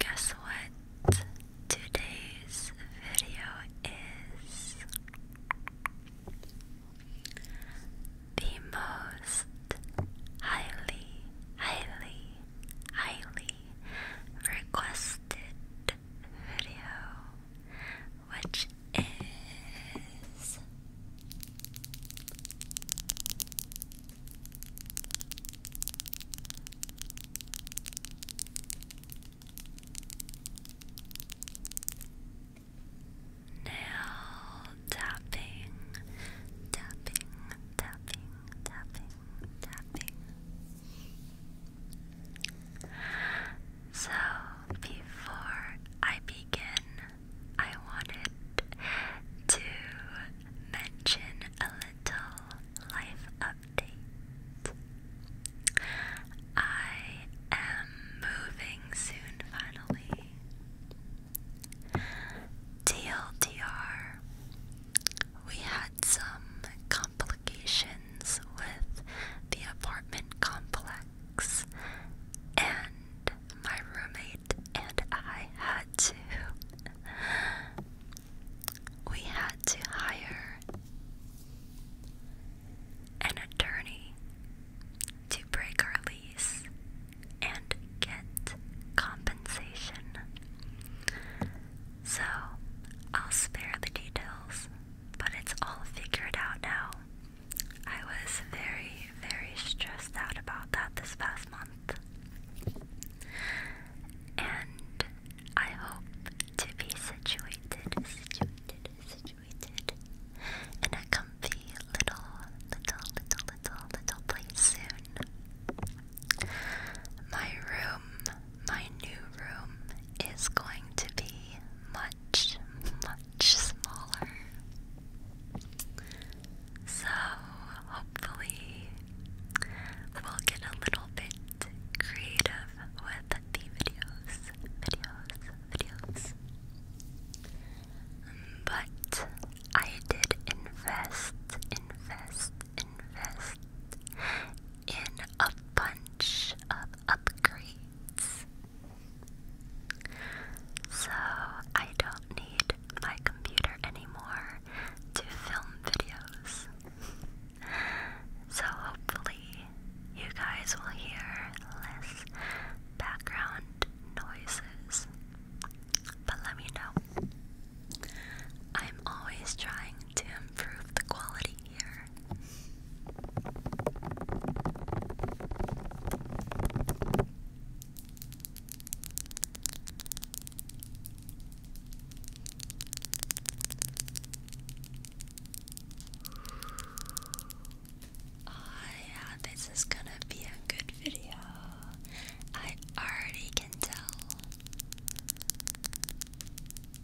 Guess what today's video is? The most highly, highly, highly requested video, which is nail tapping, tapping, tapping, tapping, tapping. So, before I begin, I wanted to mention a little life update. I am moving soon, finally. TLDR, we had some complications with the apartment complex, and my roommate and I had to. We had to hire an attorney to break our lease and get compensation. So, I'll spare the details, but it's all figured out now. I was very, very stressed out about that this past month. And I hope to be situated, situated, situated in a comfy little, little, little, little, little place soon. My room my new room is going to be much, much smaller. So, hopefully, we'll get a little bit creative with the videos, videos, videos. But I did invest, invest, invest in a bunch of upgrades. So I don't need my computer anymore to film videos. So hopefully you guys will hear less background noises. But let me know I'm always trying to improve the quality here. Oh, yeah, this is gonna be a good video. I already can tell.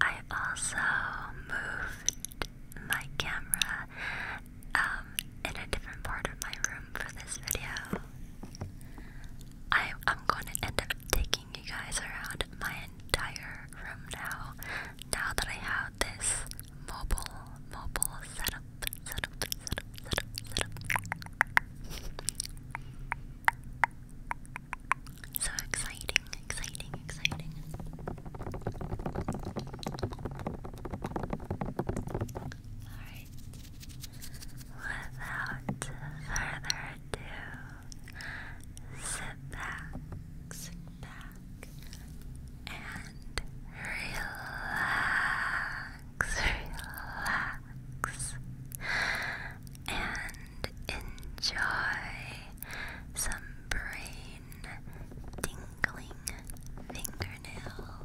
I also moved my camera um, in a different part of my room for this video. I, I'm going to end up taking you guys around my entire room now, now that I have this mobile, mobile setup. Settle, settle, So exciting, exciting, exciting. Alright. Without further ado, sit back, sit back, and relax relax, and enjoy some brain tingling fingernail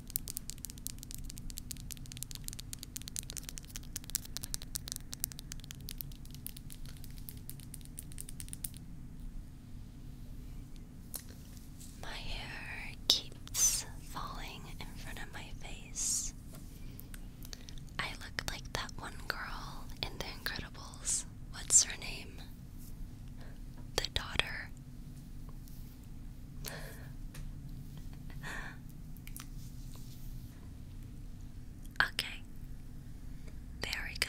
My hair keeps falling in front of my face. I look like that one girl in The Incredibles. What's her name? the daughter. okay, there we go.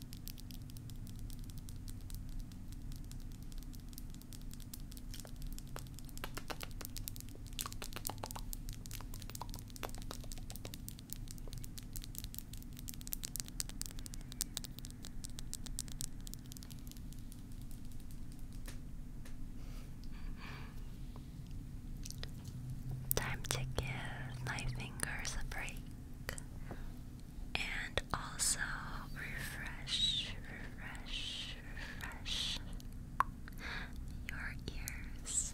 Time to give my fingers a break and also refresh, refresh, refresh your ears.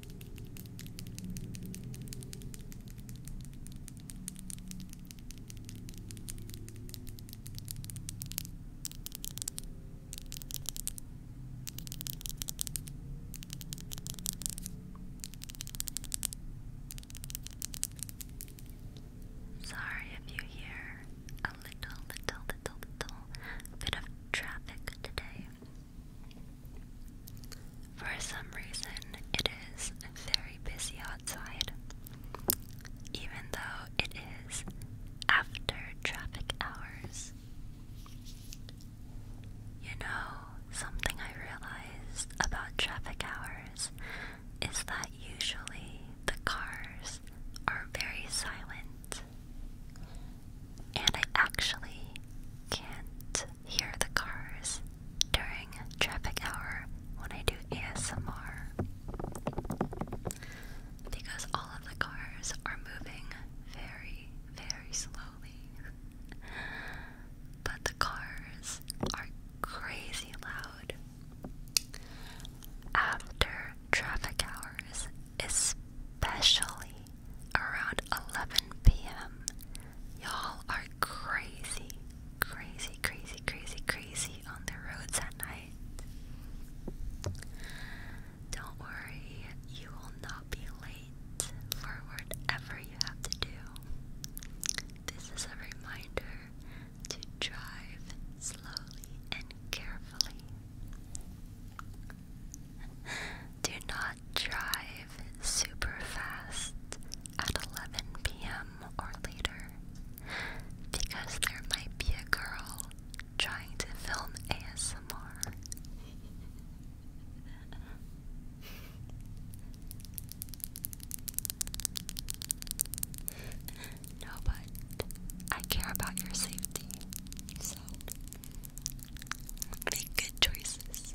Sorry if you hear a little, little, little, little bit of traffic today. For some reason, it is very busy outside, even though it is after traffic hours. You know, something I realized about traffic hours is that usually the cars are very silent, and I actually can't hear the cars during traffic hour when I do ASMR because all of the cars are moving very, very slowly. but the cars are crazy loud. After traffic hours, especially around 11 p.m. Y'all are crazy, crazy, crazy, crazy, crazy on the roads at night. Don't worry, you will not be late for whatever you have to do. This is a reminder to drive slowly and carefully. Do not drive super fast at 11 p.m. or later because there might be a girl trying to film ASMR. no, but I care about your safety, so make good choices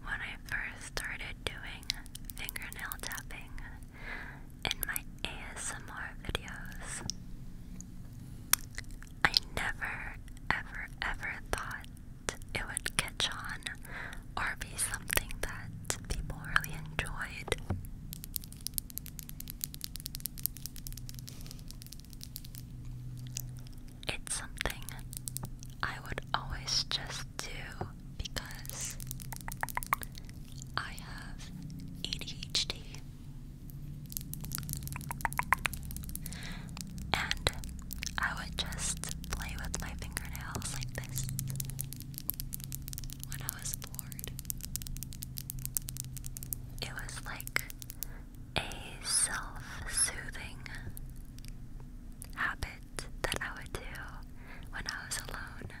When I first started doing fingernail tapping in my ASMR videos, I never, ever, ever thought it would catch on or be something that people really enjoyed. It's something I would always just do because I have ADHD and I would just play with my fingernails like this when I was bored. It was like a self soothing habit that I would do when I was alone.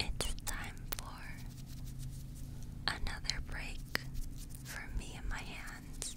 it's time for Another break for me and my hands.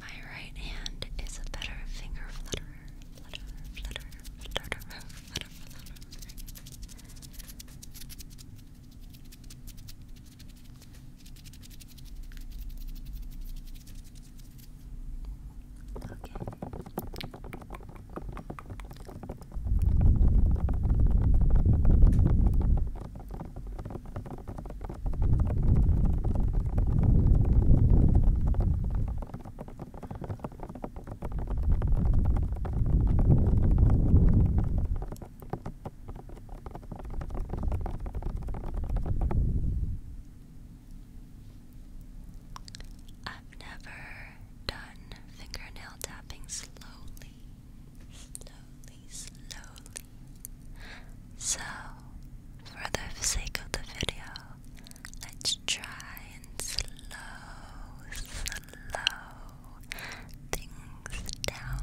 My right hand is a better finger flutterer. Flutterer, flutterer, Okay. I've never done fingernail tapping slowly, slowly, slowly. So for the sake of the video, let's try and slow, slow things down.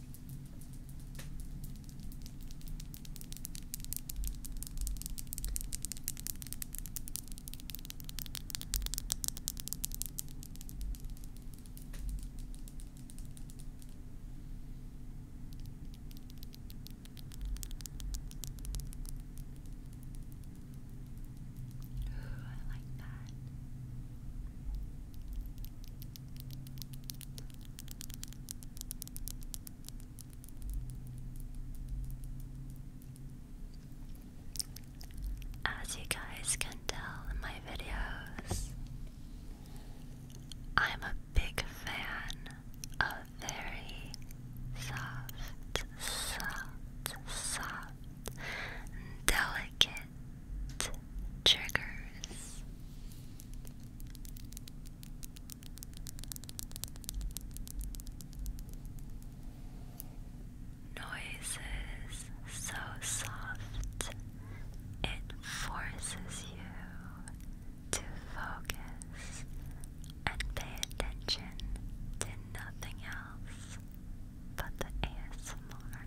Ooh, I like that. As you guys can tell in my videos, I'm a big fan of very soft, soft, soft, delicate different triggers. Noises so soft it forces you to focus and pay attention to nothing else but the ASMR.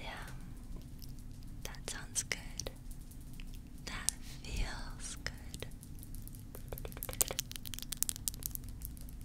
Yeah, that sounds good. That feels good.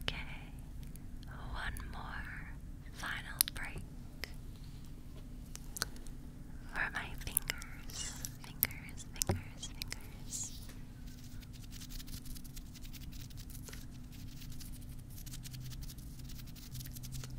Okay, one more final break for my fingers, fingers, fingers, fingers.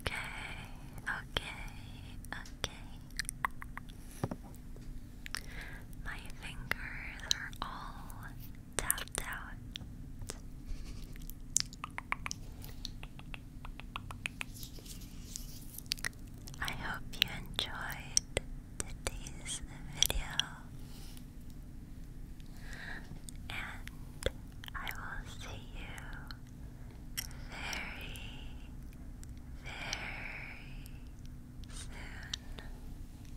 Okay, okay, okay. My fingers are all tapped out. I hope you enjoyed today's video, and I will see you very, very soon.